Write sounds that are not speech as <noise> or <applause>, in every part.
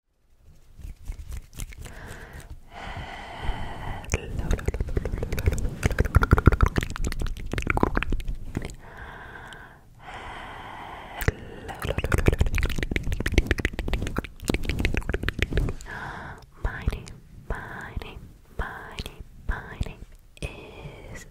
Hello. My name, my name, my name, my name is <laughs>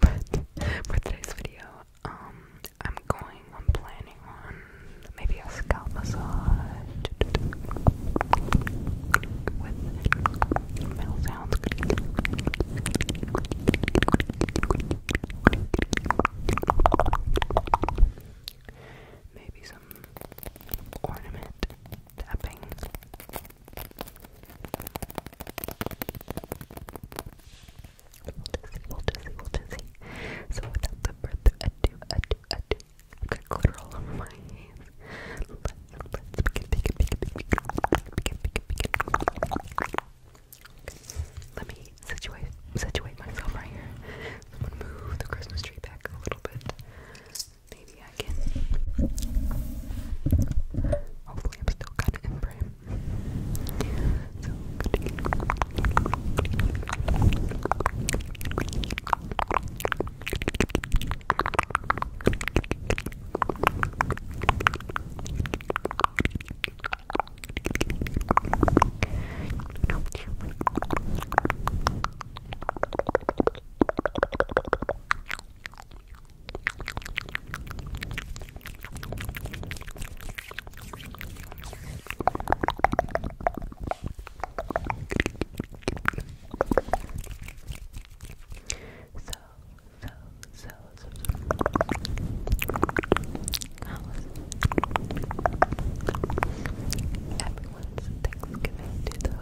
But for today's video, um, I'm going, I'm planning on maybe a scalp massage with mouth Maybe some ornament tapping. We'll just see, see. So without further ado, ado, ado, I've got glitter all over my hands. Let's, let begin, begin, begin, begin, begin, begin, begin. Let me situate, situate myself right here. I'm going move the Christmas tree back a little bit maybe I can. Hopefully, I'm still kind of in frame. So, so, so, so, so. How was everyone's Thanksgiving to the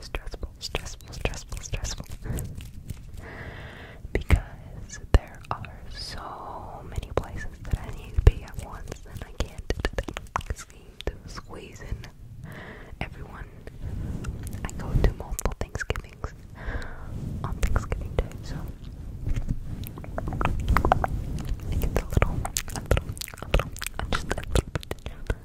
stressful, stressful, stressful, stressful. because there are so many places that I need to be at once and I can't seem to squeeze in everyone. I go to multiple Thanksgivings on Thanksgiving Day, so it gets a little, a little, a little, just a little bit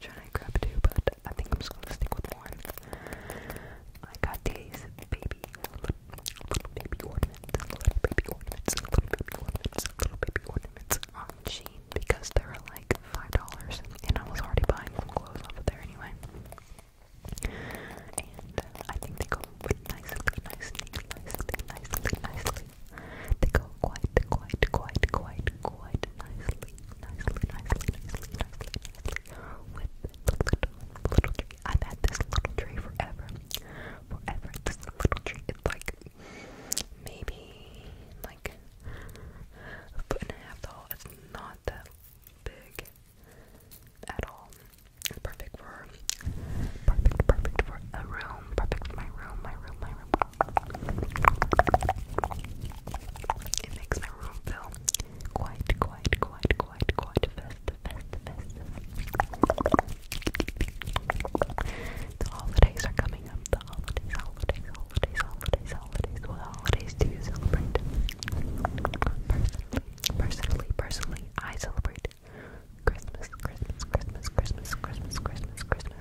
trying to grab two, but I think I'm just gonna stick with one. I got these baby, little, little baby ornaments, little baby ornaments, little baby ornaments, little baby ornaments on Shein because they are like five dollars, and I was already buying some clothes off of there anyway. And I think they go nicely, nicely, nicely, nicely, nicely, they go quite, quite, quite, quite, quite nicely, nicely, nicely, nicely, nicely, nicely with little, little tree. I've had this little tree forever, forever. This little tree, it's like maybe like foot and a half tall. It's not that big at all. It's perfect for perfect, perfect for a room room, perfect my room, my room, my room. It makes my room feel quite, quite, quite, quite, quite festive, festive, festive. The holidays are coming up. The holidays, holidays, holidays, holidays, holidays. What holidays do you celebrate? Personally, personally, personally, I celebrate Christmas, Christmas, Christmas, Christmas, Christmas, Christmas, Christmas,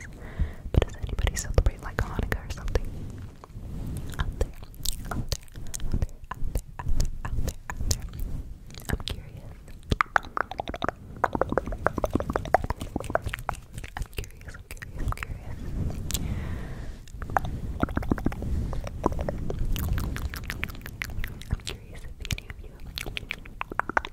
but does anybody celebrate like Hanukkah or something? I'm curious. I'm curious, I'm curious, I'm curious. I'm curious if any of you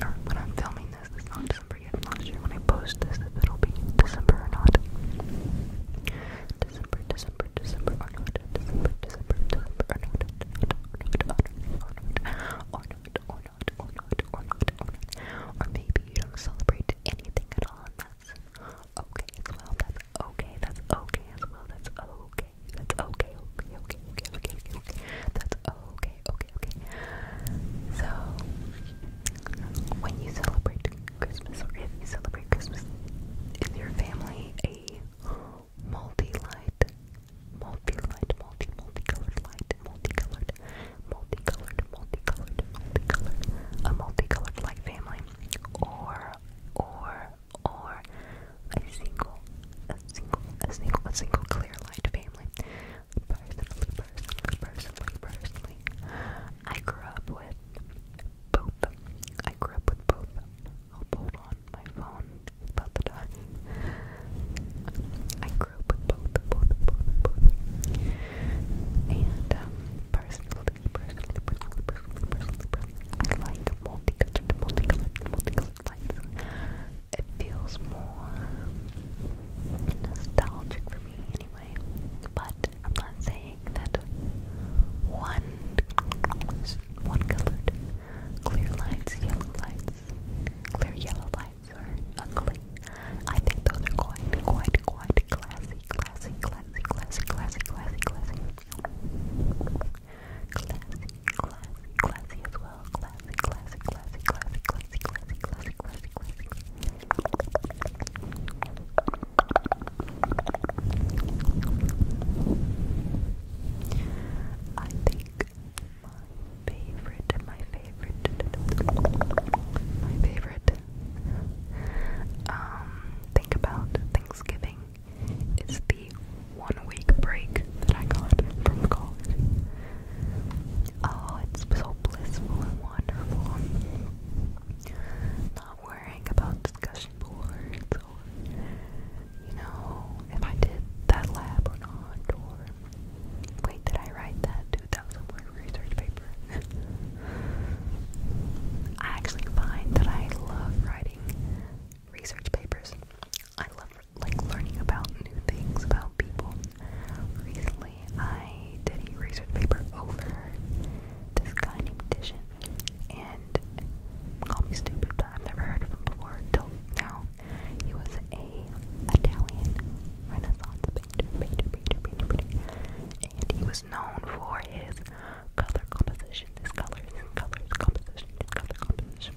Or when I'm filming this, it's not December yet. I'm when I post this if it'll be December or not. December, December, December or not. December, December, December or not. Or not, or not, or not, or not, or not, or not, or maybe you don't celebrate anything at all, that's okay That's okay. That's okay as well. That's okay that's okay, okay, okay, okay, okay, okay, okay. That's okay, okay, okay. So, when you celebrate Christmas, or if you celebrate Christmas, is your family a multi-light, multi-light, multi, multi-colored light, multi-colored, multi-colored, multi-colored, multi-colored, a multi-colored light family, or, or, or a single, a single, a single, a single clear light family. Personally, personally, personally, personally, I grew up with both. I grew up with both. Oh, hold on, my phone is about to die. I grew up with both, both, both, both. And, um, personally, personally, personally, personally, personally, personally I like multicolored, multicolored, multicolored lights it feels more nostalgic for me anyway. But I'm not saying that one one colored clear lights, yellow lights, clear yellow lights are ugly. I think those are quite, quite, quite classy, classy, classy, classy, classy, classy, classy classy, classy, classy as well. Classy, classy, classy, classy, classy, classy, classy, classy, classy. I think my favorite, my favorite, my favorite. Um, think about Thanksgiving is the one week break that I got from college. Oh, it's so blissful and wonderful. Not worrying about discussion boards or, you know, if I did that lab or not, or wait, did I write that 2000 word research paper? <laughs> I actually find that I love writing research papers. I love like learning about new things about people. Recently, I did a research paper over this guy named Dishon, and call me stupid, but I've never heard of him before till now. He was a Italian Renaissance painter, painter, painter, painter, painter, and he was known for his color composition this color, composition, this composition.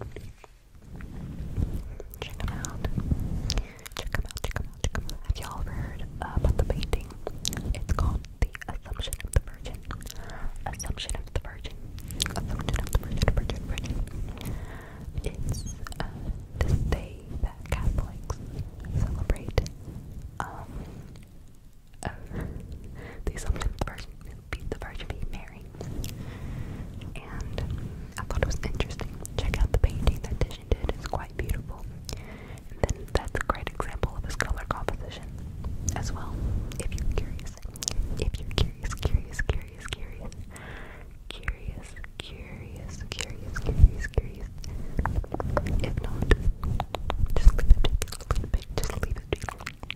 Check them out. Check them out, check them out, Have y'all heard about the painting? It's called The Assumption of the Virgin. Assumption of the Virgin. Assumption of the Virgin, Virgin, Virgin. It's uh, day that Catholics celebrate. Um, uh, of the Assumption of the Virgin, Mary. And I thought it was interesting. Check out the painting that Titian did, it's quite beautiful. And then that's a great example of his color composition as well. If you're curious, if you're curious, curious, curious, curious, curious, curious, curious, curious, curious. If not, just leave it. Just leave it. Just leave it.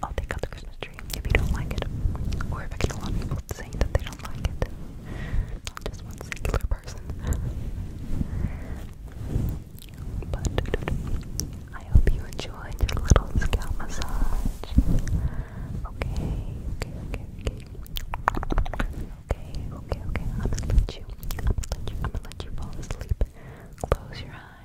I'll take out the Christmas tree if you don't like it, or if a lot people saying that they don't like it. Not just one singular person. But I hope you enjoyed your little scalp massage. Okay, okay, okay, okay. Okay, okay, okay. I'm gonna let you. I'm gonna let you. I'm gonna let you fall asleep. Close your eyes.